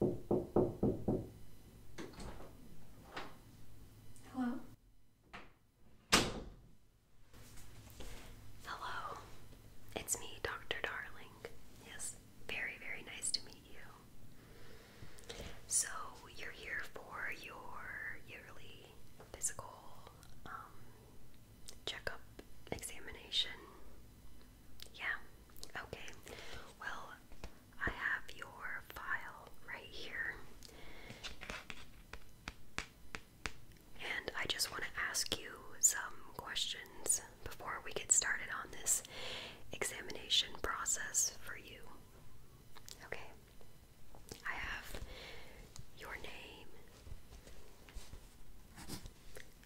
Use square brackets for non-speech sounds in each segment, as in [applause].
Hello. Hello. It's me, Dr. Darling. Yes, very, very nice to meet you. So, you're here for your yearly physical um, checkup examination. Yeah. Okay, well, I have your file right here. And I just want to ask you some questions before we get started on this examination process for you. Okay, I have your name,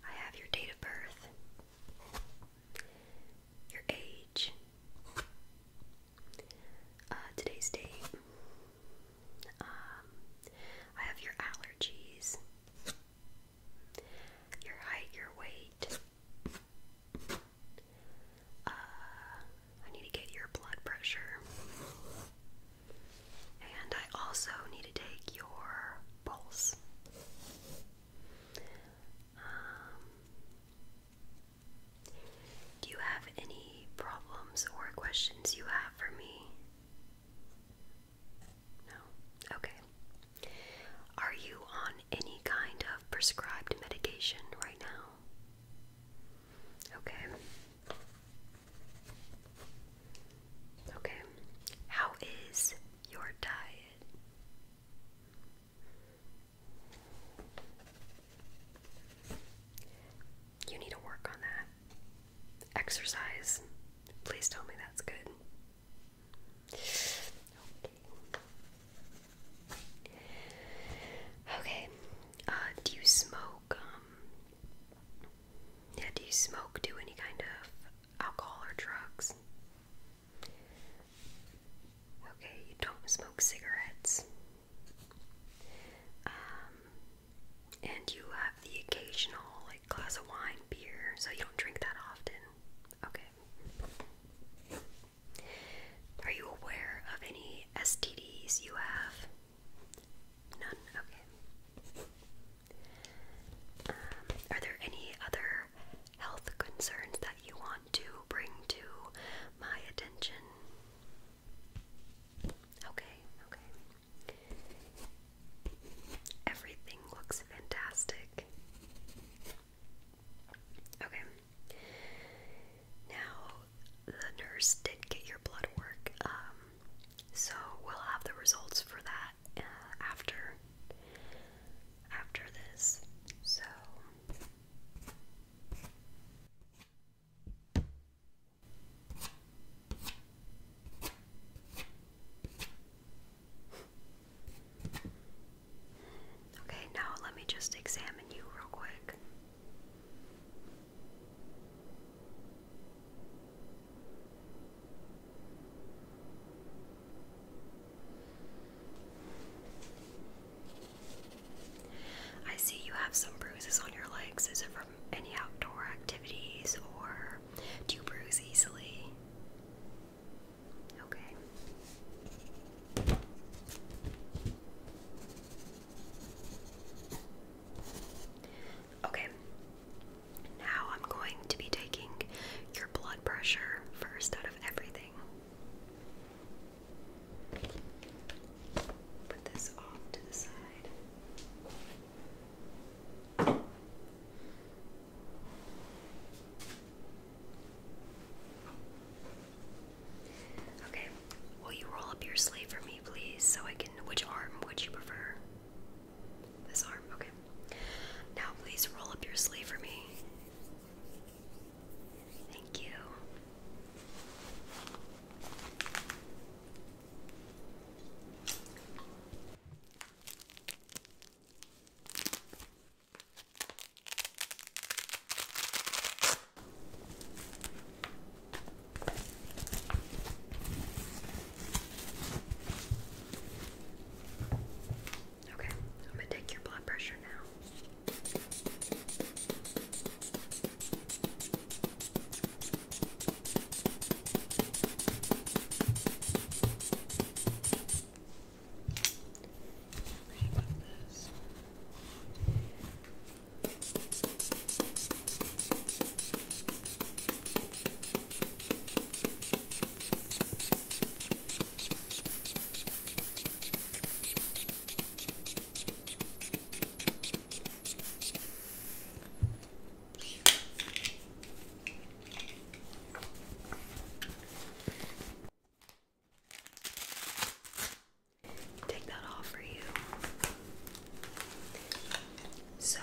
I have your date of birth your age, uh, today's date, um, I have your allergies, your height, your weight. Uh, I need to get your blood pressure. And I also need to take your pulse. Um, do you have any problems or questions you have for me? No? Okay. Are you on any kind of prescribed medication right now? Okay. Okay. How is your diet? You need to work on that. Exercise. Please tell me that's good. Okay. Okay. Uh, do you smoke? Um, yeah, do you smoke? Do any kind of alcohol or drugs? Okay, you don't smoke cigarettes. Um, and you have the occasional like glass of wine, beer, so you don't drink that often. Okay. Are you aware of any STDs you have? None? Okay. Um, are there any other health concerns that you want to bring to my attention? Okay, okay. Everything looks fantastic. Okay. Now, the nurse did get your blood work, um, so we'll have the results for that uh, after after this. So Okay, now let me just examine you real quick. I see you have some bruises on your legs. Is it from any outdoor activities or do you bruise easily? Okay. Okay. Now I'm going to be taking your blood pressure first out of everything. Put this off to the side. Okay, will you roll up your sleeve for me, please, so I can. Which arm would you prefer? This arm, okay. Now please roll up your sleeve for me. Thank you. Okay, I'm gonna take your blood pressure now. Take that off for you. So,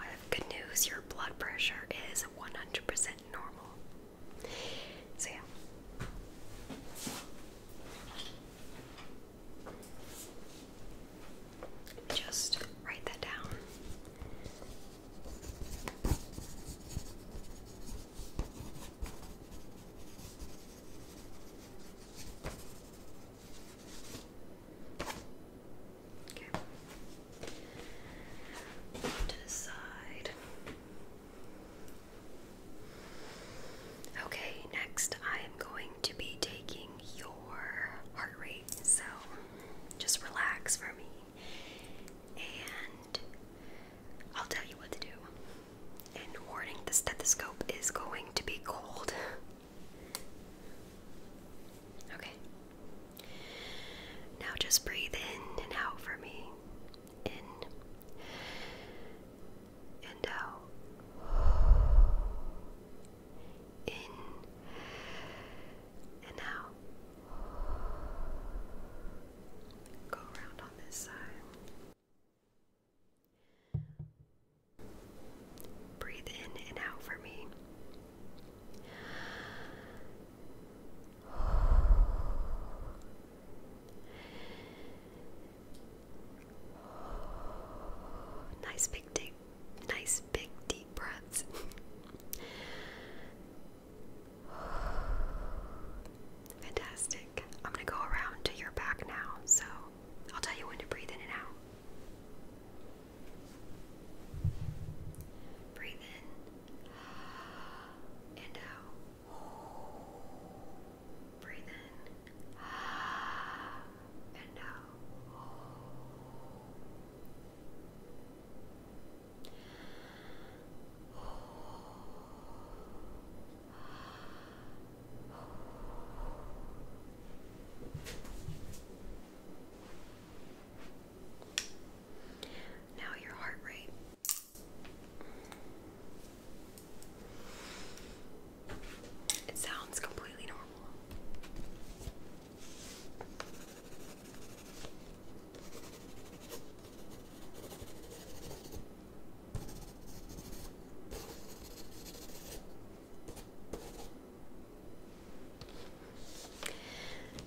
I have good news your blood pressure is 100% normal. So, yeah. just write that down. Okay to the side. Okay, next I am going to be taking your heart rate, so just relax for me and I'll tell you what to do. And warning the stethoscope is going to be cold. [laughs] Okay. Now just breathe in and out for me. In and out. In and out. Go around on this side. Breathe in and out for me. Nice big deep, nice big deep breaths. Fantastic. I'm going to go around to your back now, so I'll tell you when to breathe in and out. Breathe in and out. Breathe in and out. Now your heart rate. It sounds completely normal.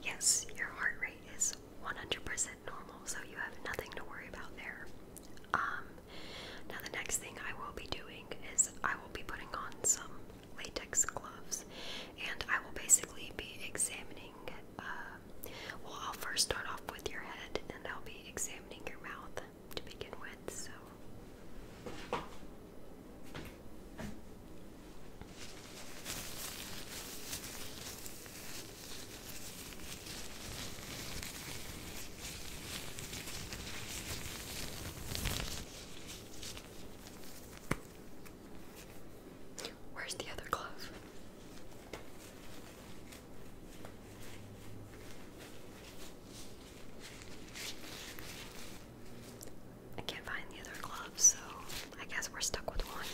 Yes, your heart rate is 100% normal, so you have nothing to worry about there. Um, now, the next thing I will be doing is I will be putting on some latex gloves and I will basically be examining. Um, well, I'll first start off with your head and I'll be examining your mouth to begin with, so. Where's the other glove? I can't find the other gloves, so I guess we're stuck with one.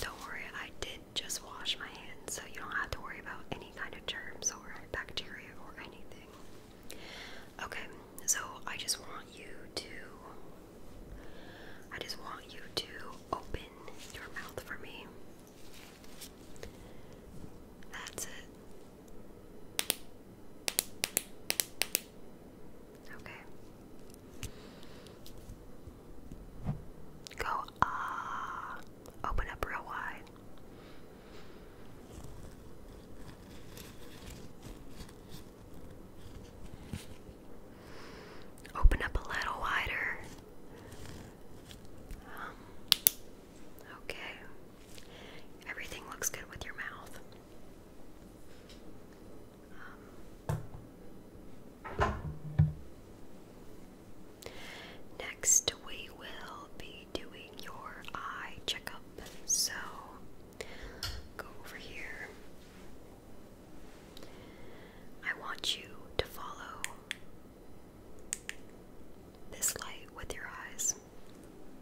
Don't worry, I did just wash my hands, so you don't have to worry about any kind of germs or bacteria or anything. Okay, so I just want you to. I just want you to open your mouth for me. That's it. Okay. Go ah. Open up real wide. Open up a little wider. Um, okay. Everything looks good with your mouth. Um, next, we will be doing your eye checkup. So, go over here. I want you to follow this light with your eyes.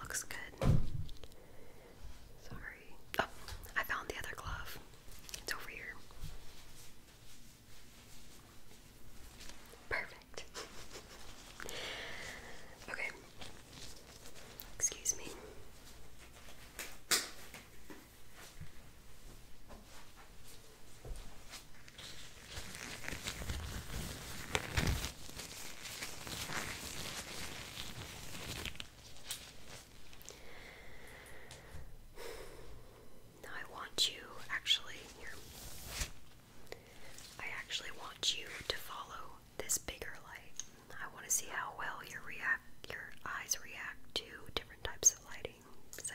Looks good. Sorry. Oh, I found the other glove. It's over here. Perfect. [laughs] okay. Excuse me. I want you actually here. I actually want you to follow this bigger light. I want to see how well your react your eyes react to different types of lighting. So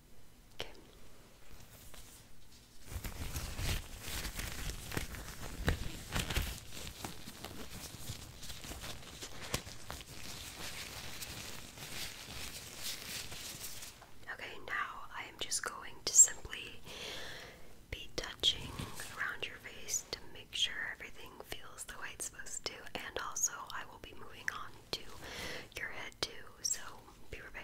Okay. Okay, now I am just going to simply be touching around your face to make sure everything feels the way it's supposed to, and also I will be moving on to your head too, so be prepared.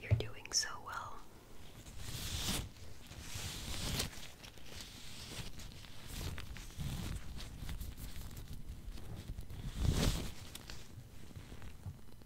You're doing so well.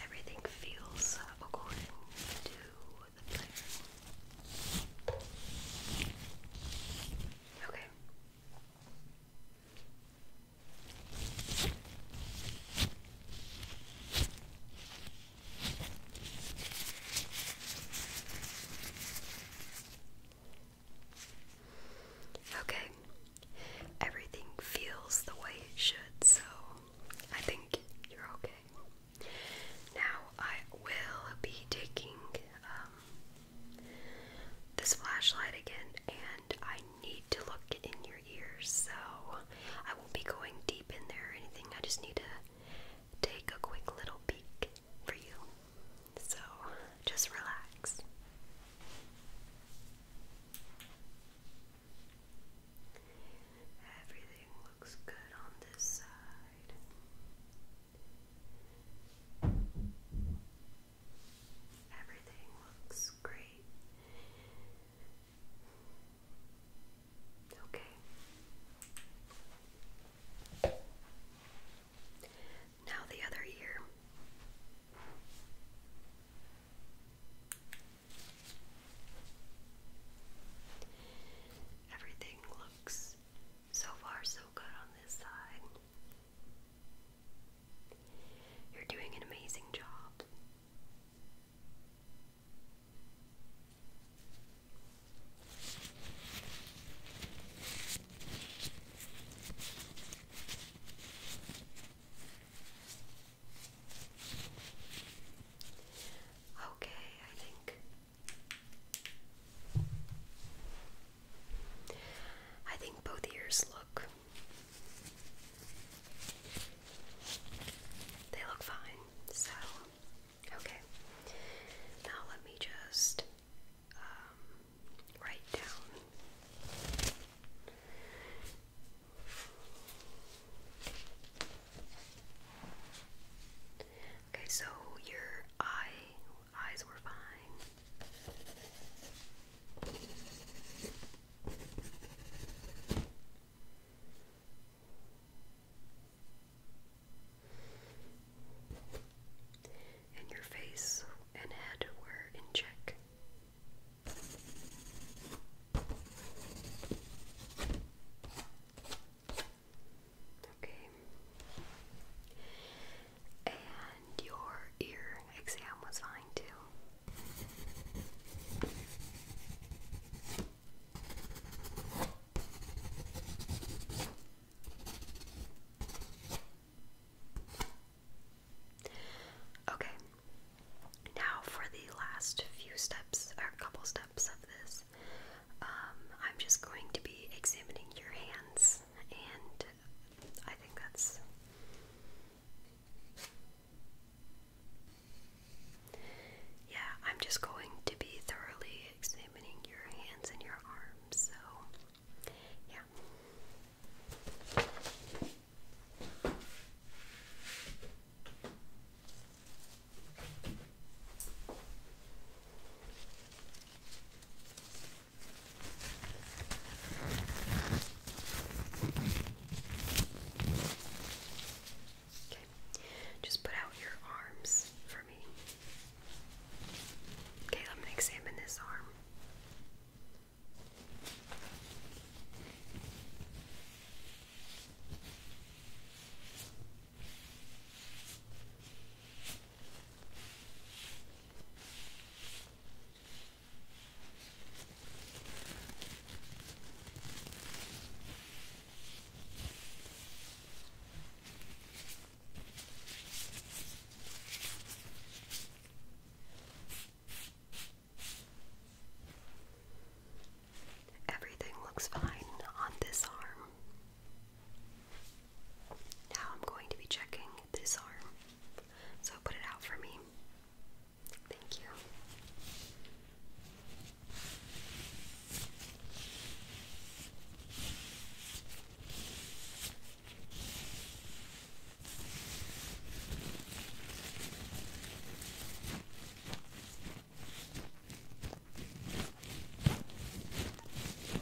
Everything feels according to the plan. Okay, Okay, everything feels the way it should, so I think you're okay. Now, I will be taking um, this flashlight again, and I need to look in your ears, so I won't be going deep in there anything. I just need to take a quick little peek for you. So just relax. Everything looks good on this side. Everything looks great. Okay. Now the other ear. Everything looks so far so good on this side. You're doing an amazing job. Okay, I think I think both ears look. They look fine. So, okay. Now let me just um, write down. Okay, so your eye eyes were fine. And your face and head were in check. Okay. And your ear exam was fine too. Okay. Now for the last few steps or couple steps of this. Um, I'm just going to be examining your hands and I think that's yeah, I'm just going to be thoroughly examining your hands and your arms, so yeah. Okay, just put out your arms for me. Okay, I'm examine this arm. Everything looks fine on this arm. Now I'm going to be checking this arm. So put it out for me. Thank you.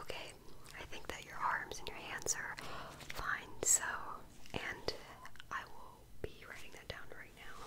Okay, I think that your arms and your hands are fine, so, and I will be writing that down right now.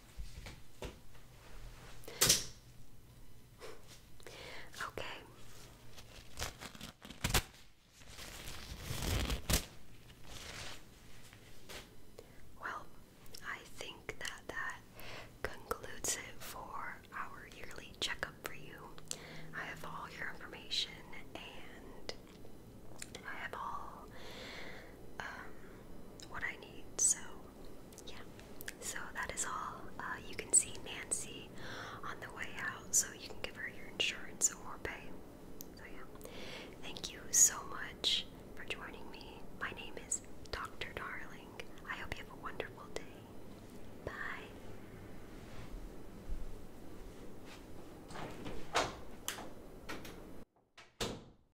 Okay. Well, I think that that concludes it for our yearly checkup for you. I have all your information and I have all um, what I need. So, yeah. So that is all. Uh, you can see Nancy on the way out, so you can give her your insurance or pay. So, yeah. Thank you so much for joining me. My name is Dr. Darling. I hope you have a wonderful day. Bye.